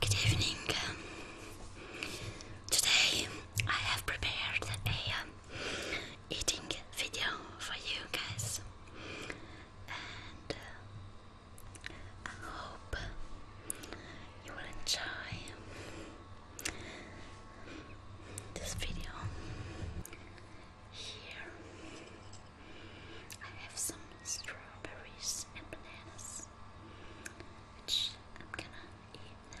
Good evening. Today I have prepared a um, eating video for you guys, and uh, I hope you will enjoy this video. Here I have some strawberries and bananas, which I'm gonna eat now.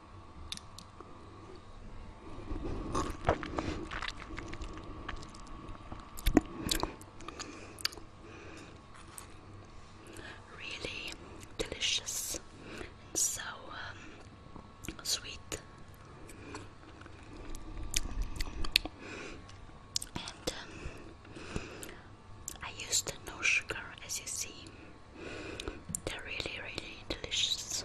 Really delicious and so um, sweet. And um, I used no sugar as you see. They're really, really delicious.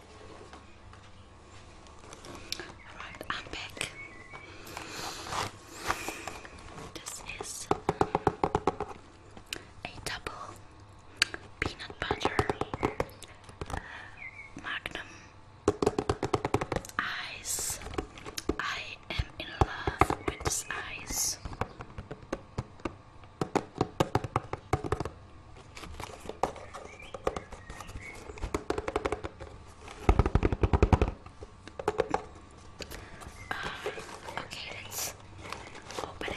Right, I'm back. This is a double peanut butter uh, magnum ice. I am in love with this ice. Uh, okay, let's open it.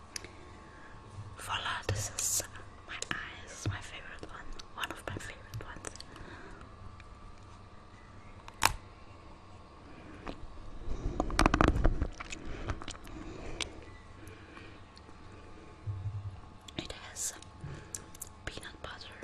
Voila, this is my eyes, my favorite one, one of my favorite ones. It has peanut butter,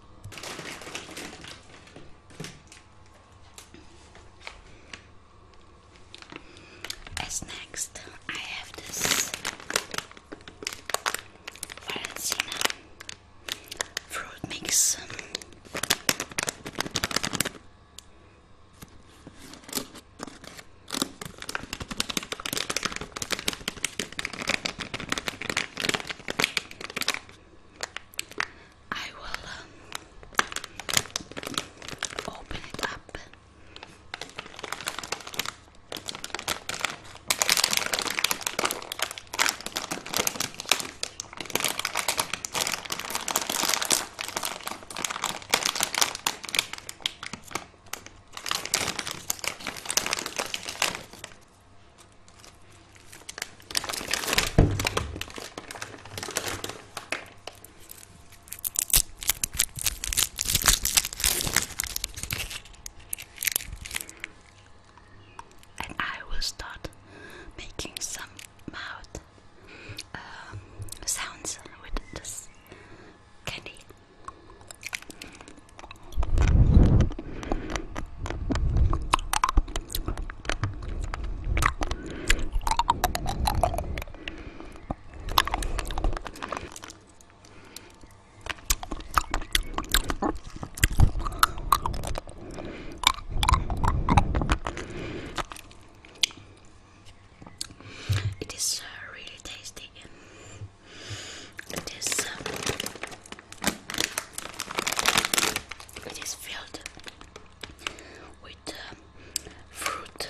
As next, I have this Valencina fruit mix. I will um, open it up. And I will start making some mouth um, sounds with this candy. It is uh, really tasty. It is um, it is filled with um, fruit.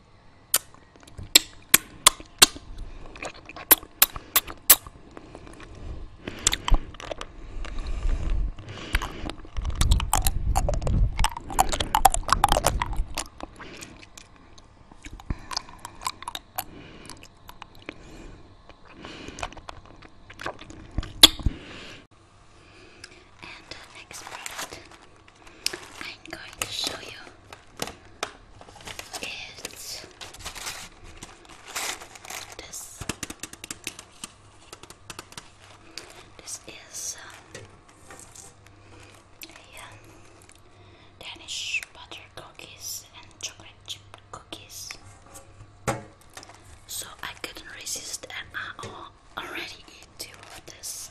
And next product I'm going to show you is this. This is um, um, Danish butter cookies and chocolate chip cookies. So I couldn't resist, and I already eat two of this.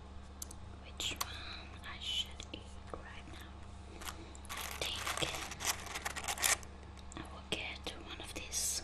which one I should eat right now. I think I will get one of these.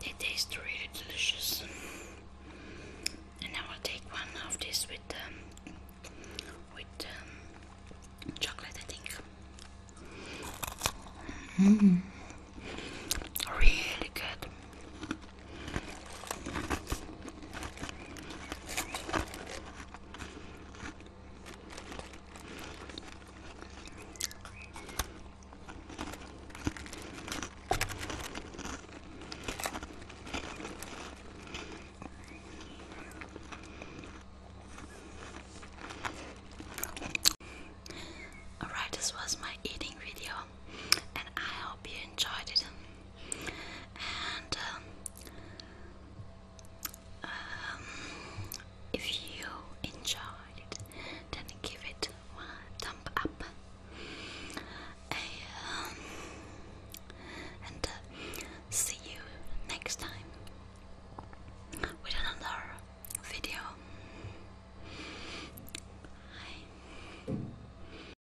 They taste really delicious. And I take one of this with um, with um, chocolate, I think. Mm. Really good. Alright, this was my eating video and I hope you enjoyed it. And um, um, if you enjoyed then give it one thumb up. Um, and, uh, see you next time with another video. Bye.